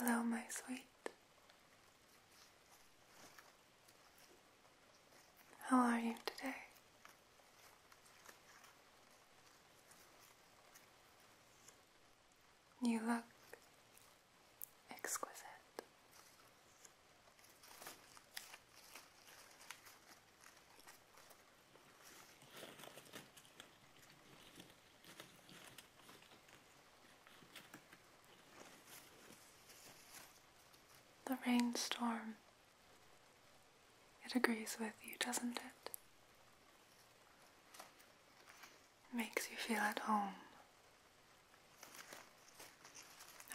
Hello, my sweet. How are you today? You look exquisite. The rainstorm. It agrees with you, doesn't it? makes you feel at home.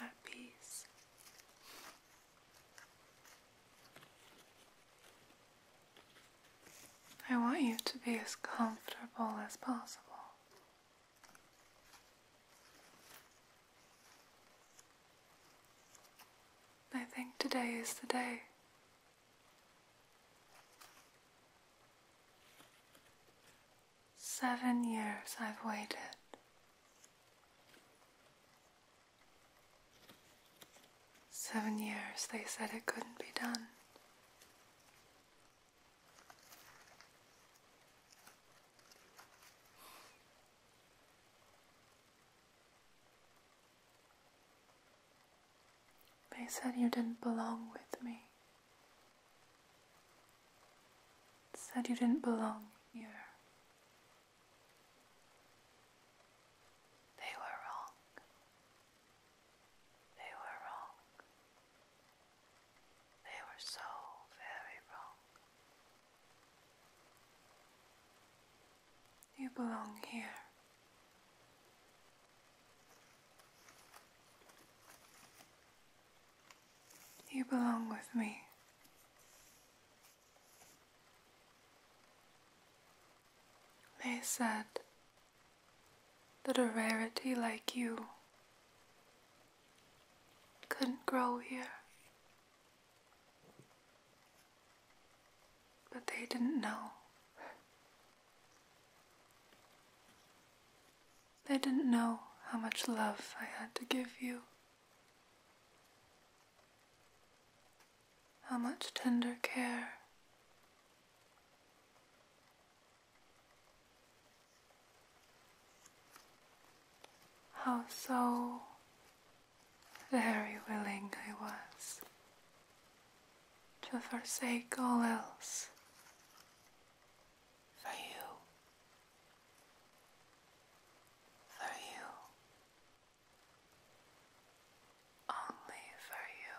At peace. I want you to be as comfortable as possible. I think today is the day. Seven years I've waited. Seven years, they said it couldn't be done. They said you didn't belong with me. Said you didn't belong here. They were wrong. They were wrong. They were so very wrong. You belong here. You belong with me. They said that a rarity like you couldn't grow here. But they didn't know. They didn't know how much love I had to give you. How much tender care how so very willing I was to forsake all else for you for you, only for you.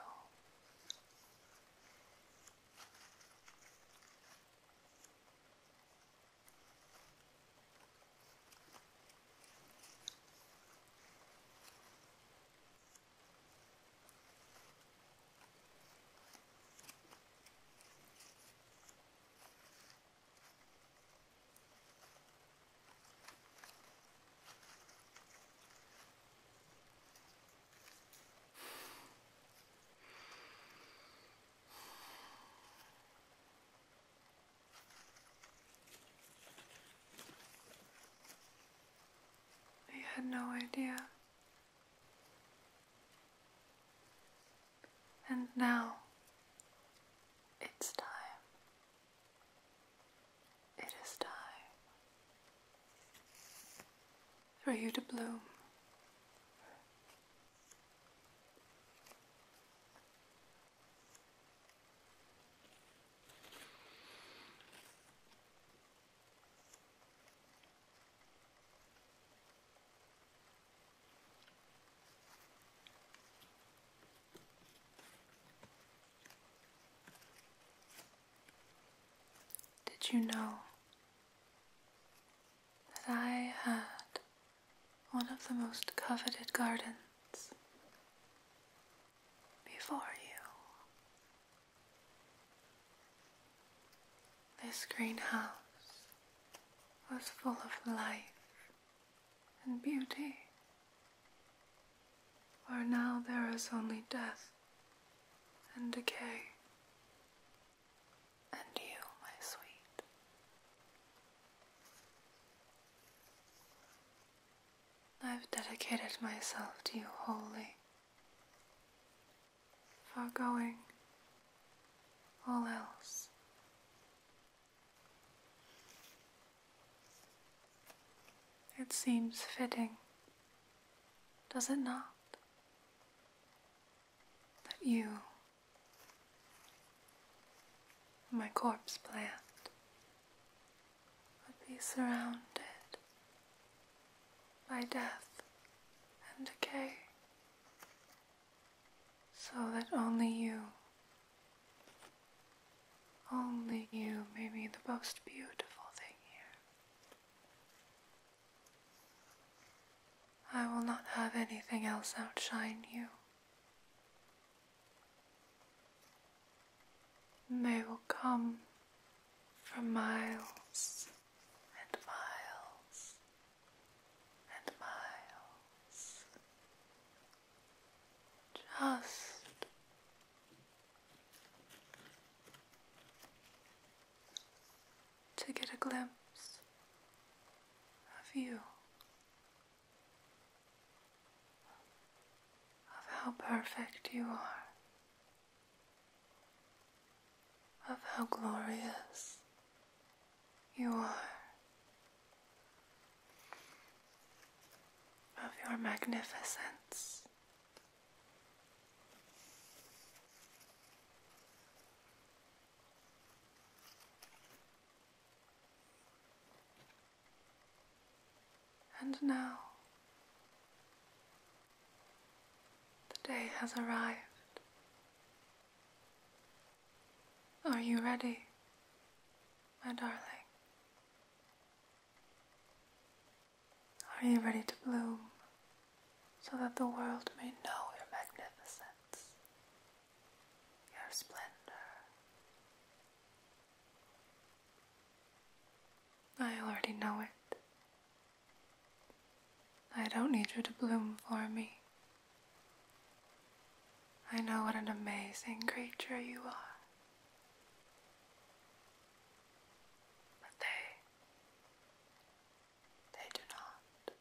I had no idea. And now it's time. It is time for you to bloom. Did you know that I had one of the most coveted gardens before you? This greenhouse was full of life and beauty, for now there is only death and decay. And you, my sweet. I've dedicated myself to you wholly, forgoing all else it seems fitting, does it not, that you, my corpse plant, would be surrounded by death and decay so that only you, only you may be the most beautiful thing here. I will not have anything else outshine you. they will come from miles and miles and miles. Just to get a glimpse of you, of how perfect you are, of how glorious you are, of your magnificence. And now, the day has arrived are you ready, my darling? Are you ready to bloom so that the world may know your magnificence, your splendor? I already know it. I don't need you to bloom for me. I know what an amazing creature you are. But they, they do not.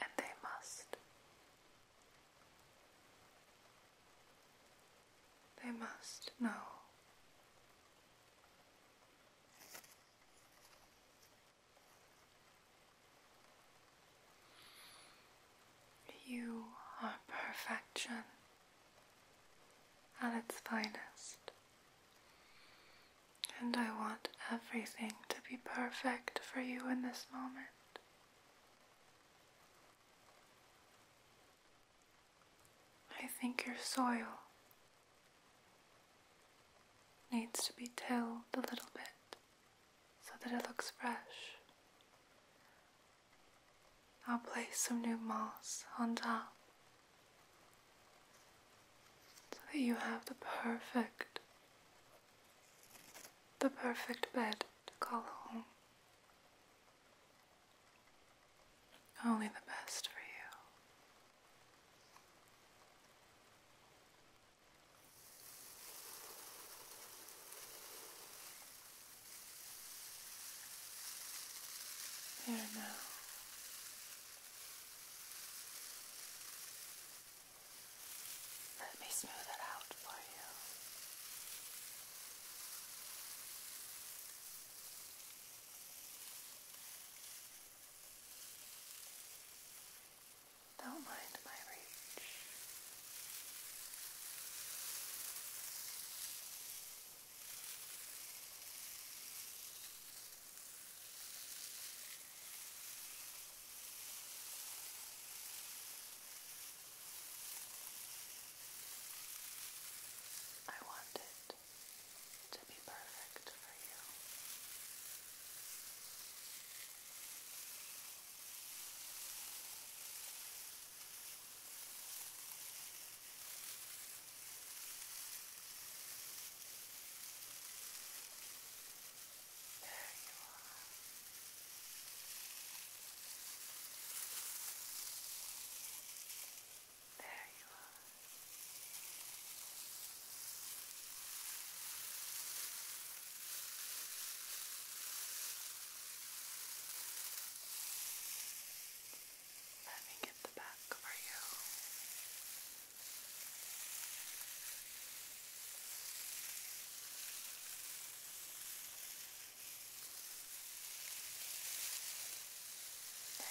And they must. They must know. You are perfection at its finest, and I want everything to be perfect for you in this moment. I think your soil needs to be tilled a little bit so that it looks fresh. I'll place some new moss on top so that you have the perfect, the perfect bed to call home. Only the best for you. There now. Let me smooth it out for you. Don't mind my reach. I want it to be perfect for you. There you are. There you are. Let me get the back for you. There.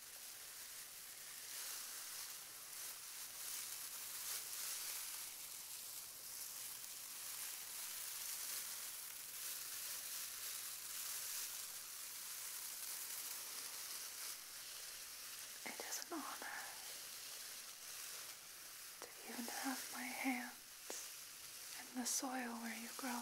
It is an honor to even have my hands in the soil where you grow.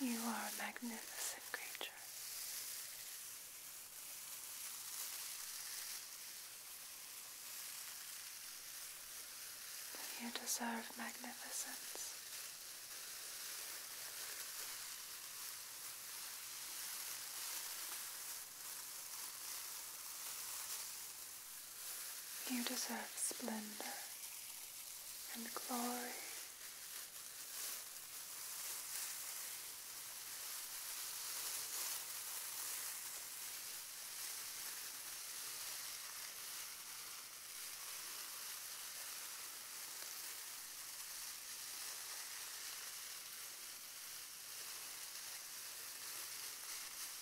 You are a magnificent creature. You deserve magnificence. You deserve splendor and glory.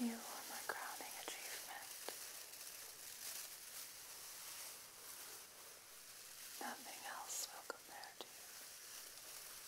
You are my crowning achievement. Nothing else will compare to you.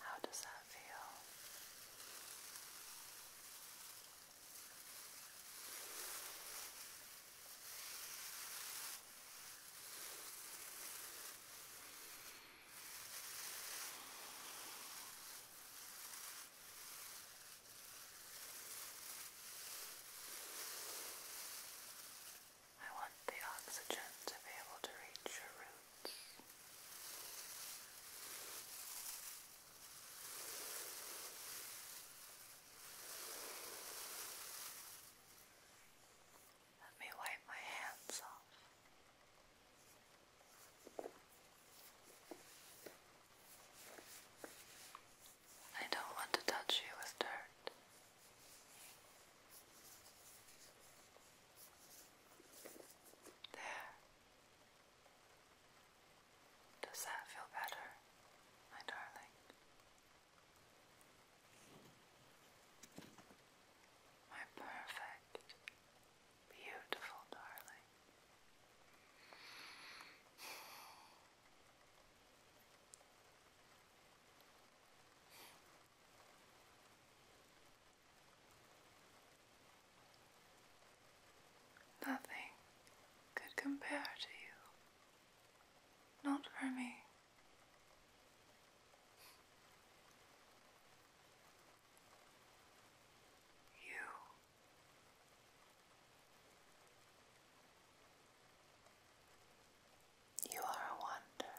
How does that feel? I want the oxygen to be able to reach your root. Let me wipe my hands off. I don't want to touch you with dirt. There. Does that feel better, my darling? My perfect, beautiful darling. Nothing could compare to you, not for me. You you are a wonder.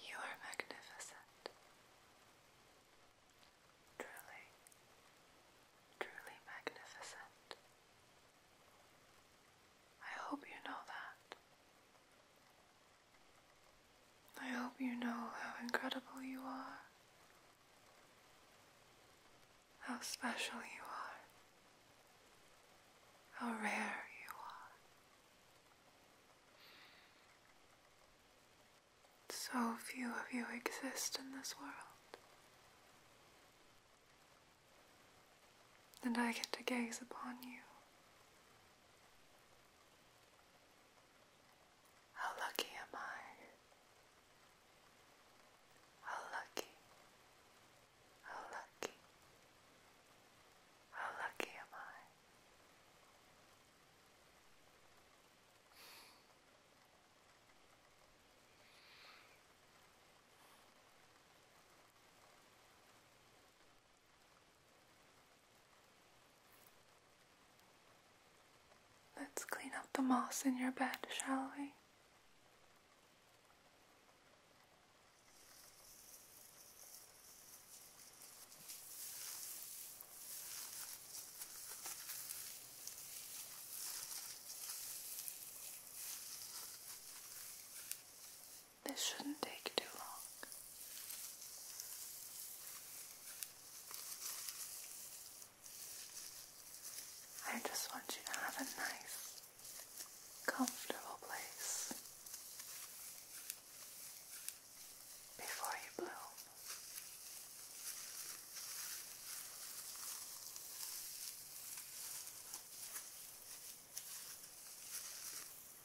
You are magnificent, truly, truly magnificent. I hope you know that. I hope you know how incredible you are, how special you are, how rare you are. So few of you exist in this world, and I get to gaze upon you. How lucky am I? How lucky, how lucky, how lucky am I? Let's clean up the moss in your bed, shall we? This shouldn't take too long. I just want you to have a nice, comfortable place before you bloom.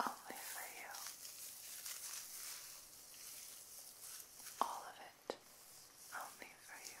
Only for you. All of it. Only for you.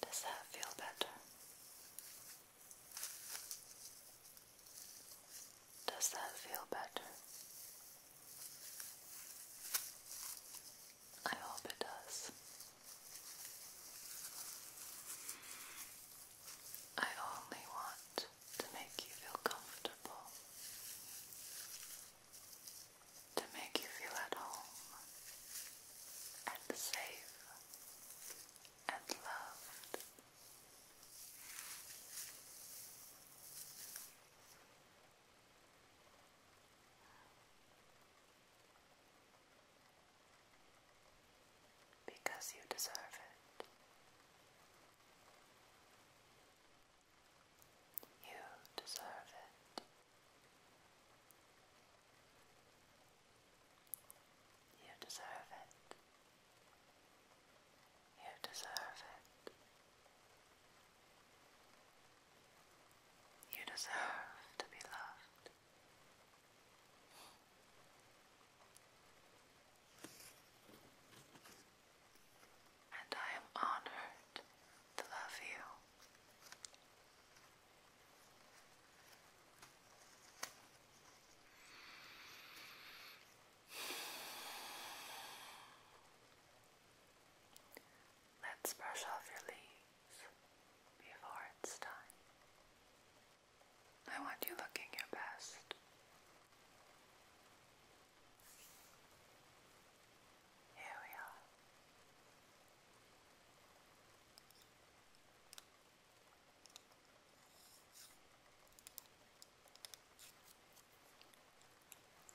Does that feel better? Does that feel better? I hope it does. I only want to make you feel comfortable, to make you feel at home, and safe and loved. Because you deserve it. You deserve it. You deserve it. You deserve it. You deserve to be loved. And I am honored to love you. Let's brush off your leaves before it's time. I want you looking your best. Here we are.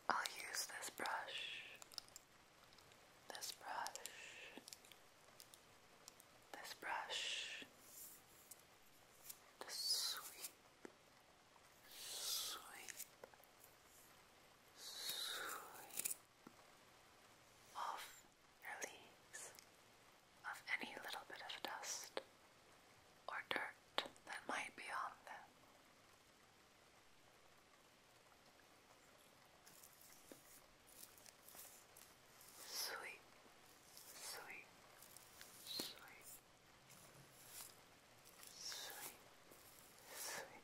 I'll use this brush, this brush, this brush to sweep, sweep, sweep off your leaves of any little bit of dust or dirt that might be on them. Sweet, sweet, sweet, sweet, sweet, sweet.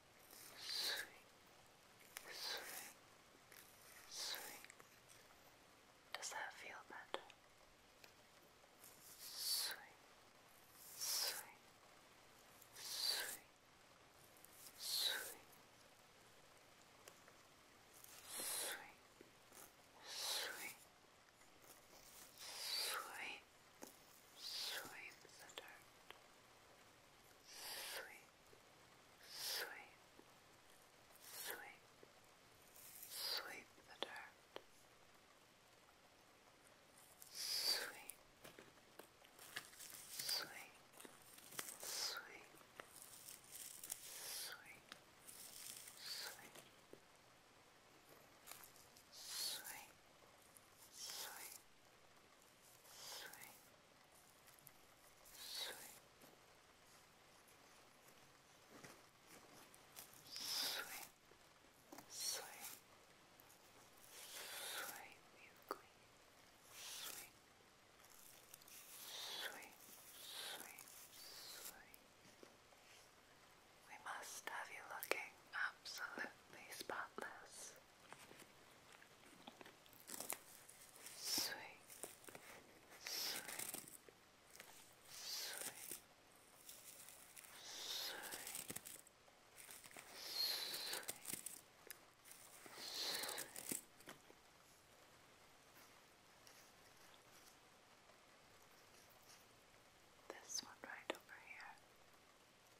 Swing, swing, swing. Does that feel better? Swing, swing, swing, swing, swing, swing, swing, sweep sweep, sweep, sweep the dirt, sweep, sweep, sweep, sweep, sweep, sweep, sweep. Sweep, Sweet. Sweet. Sweet. Sweet. Sweet Sweet. We must have you looking absolutely spotless sweet, sweet, sweet, sweet, sweet, sweet. This one right over here. Sweet,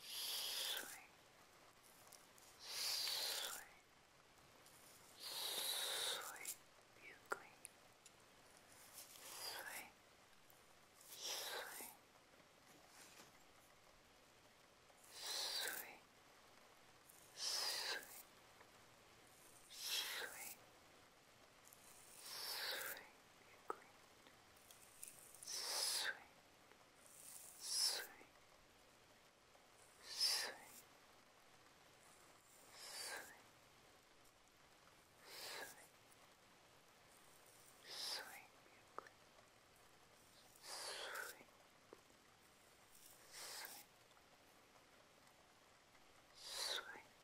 sweet, sweet, sweet, you queen. Sweet, sweet, sweet, sweet, sweet, sweet green, sweet, sweet, sweet, sweet, sweet, sweet green, sweet, sweet. Sweet,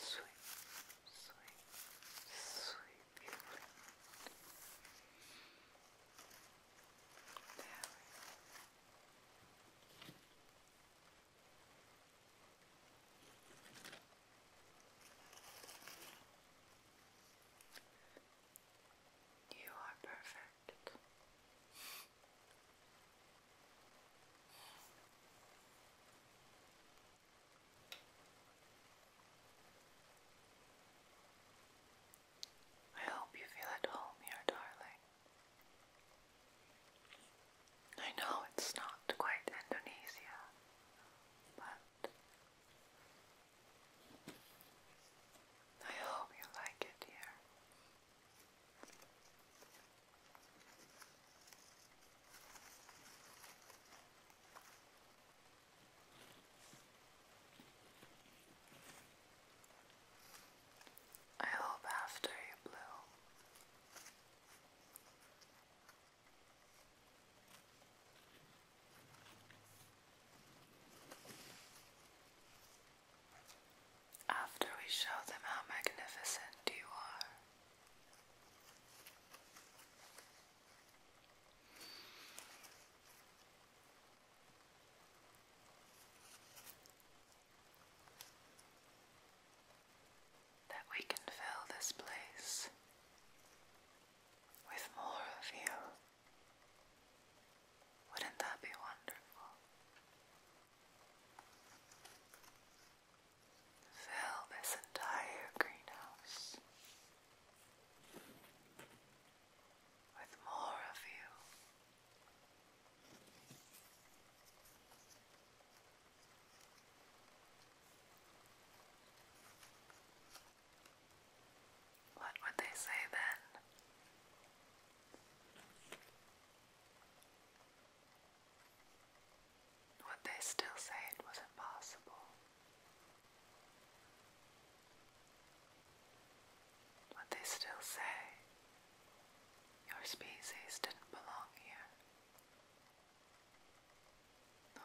sweet, sweet, sweet feeling. You are perfect. I hope you feel at home here, darling. I know it's not quite Indonesia, but I hope you like it here. I hope after you bloom. After we show them how magnificent you are, that we can fill this place with more of you. Wouldn't that be wonderful? Fill this entire greenhouse with more of you. What would they say then? Would they still say it was impossible? Would they still say your species didn't belong here? No.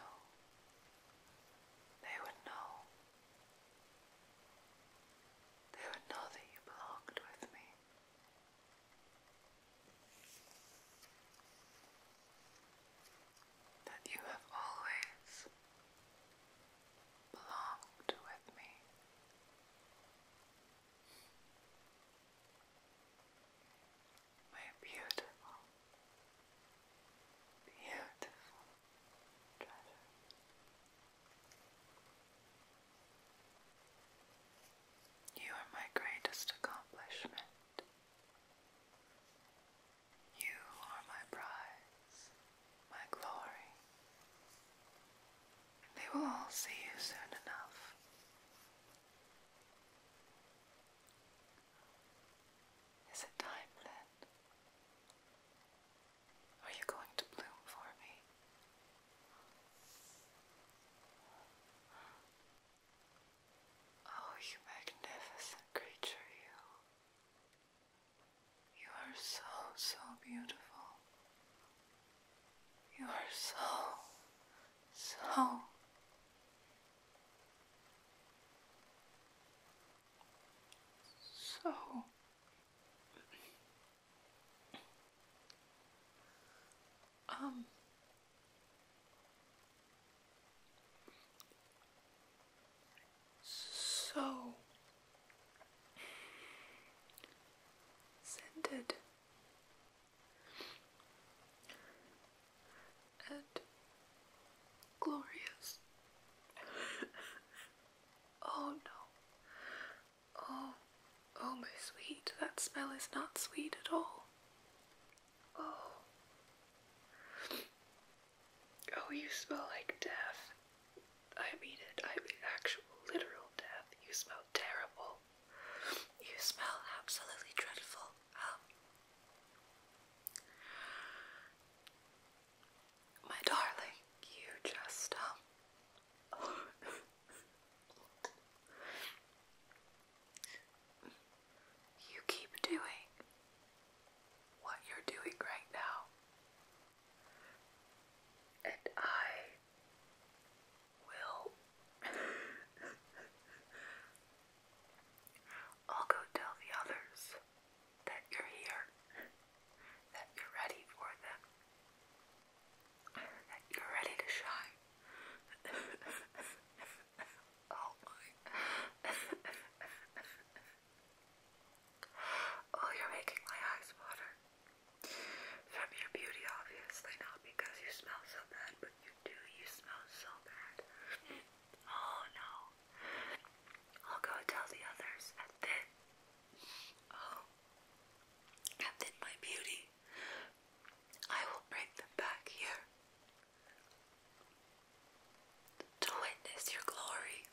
No. They would know they would know that you belonged with me. That you have always belonged with me. My beautiful, beautiful you are my greatest accomplishment. You are my prize, my glory. They will all see you soon enough. Is it time then? Are you going to bloom for me? Oh, you magnificent creature, you. You are so, so beautiful. You are so, so. So um, so scented and glorious. Oh no. Oh, oh, my sweet, that smell is not sweet at all. Oh. Oh, you smell like death. I mean it, I mean actual, literal death. You smell terrible. You smell absolutely dreadful. Um. My darling, you just, you keep doing what you're doing right now, and I will. I'll go tell the others that you're here that you're ready for them, that you're ready to shine. oh my. oh, you're making my eyes water. From your beauty, obviously, not because you smell so bad, but you do. You smell so bad. oh no. I'll go tell the others, and then, oh, and then, my beauty, I will bring them back here to witness your glory.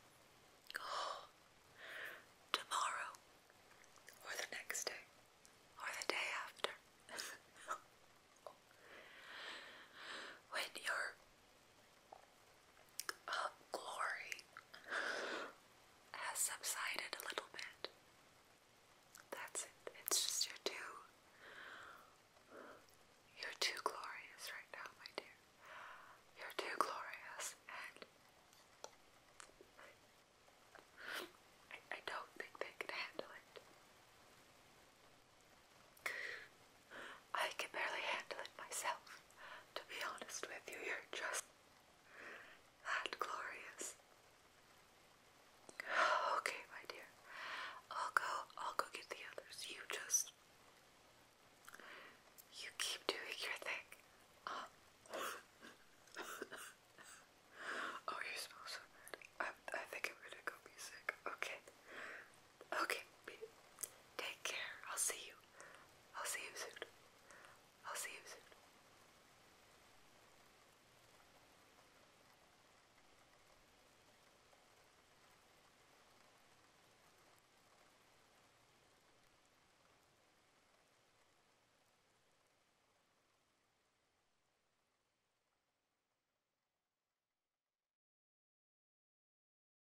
tomorrow, or the next day, or the day after. When you're uh, glory has subsided a little bit. That's it. It's just you're too, you're too glorious right now, my dear. You're too glorious, and I don't think they can handle it. I can barely handle it myself. To be honest with you, you're just that glorious. Okay, my dear. I'll go I'll go get the others. You just you keep doing your thing. Um, oh, you smell so bad. I, I think I'm gonna go be sick. Okay. Okay, take care. I'll see you. I'll see you soon. I'll see you soon.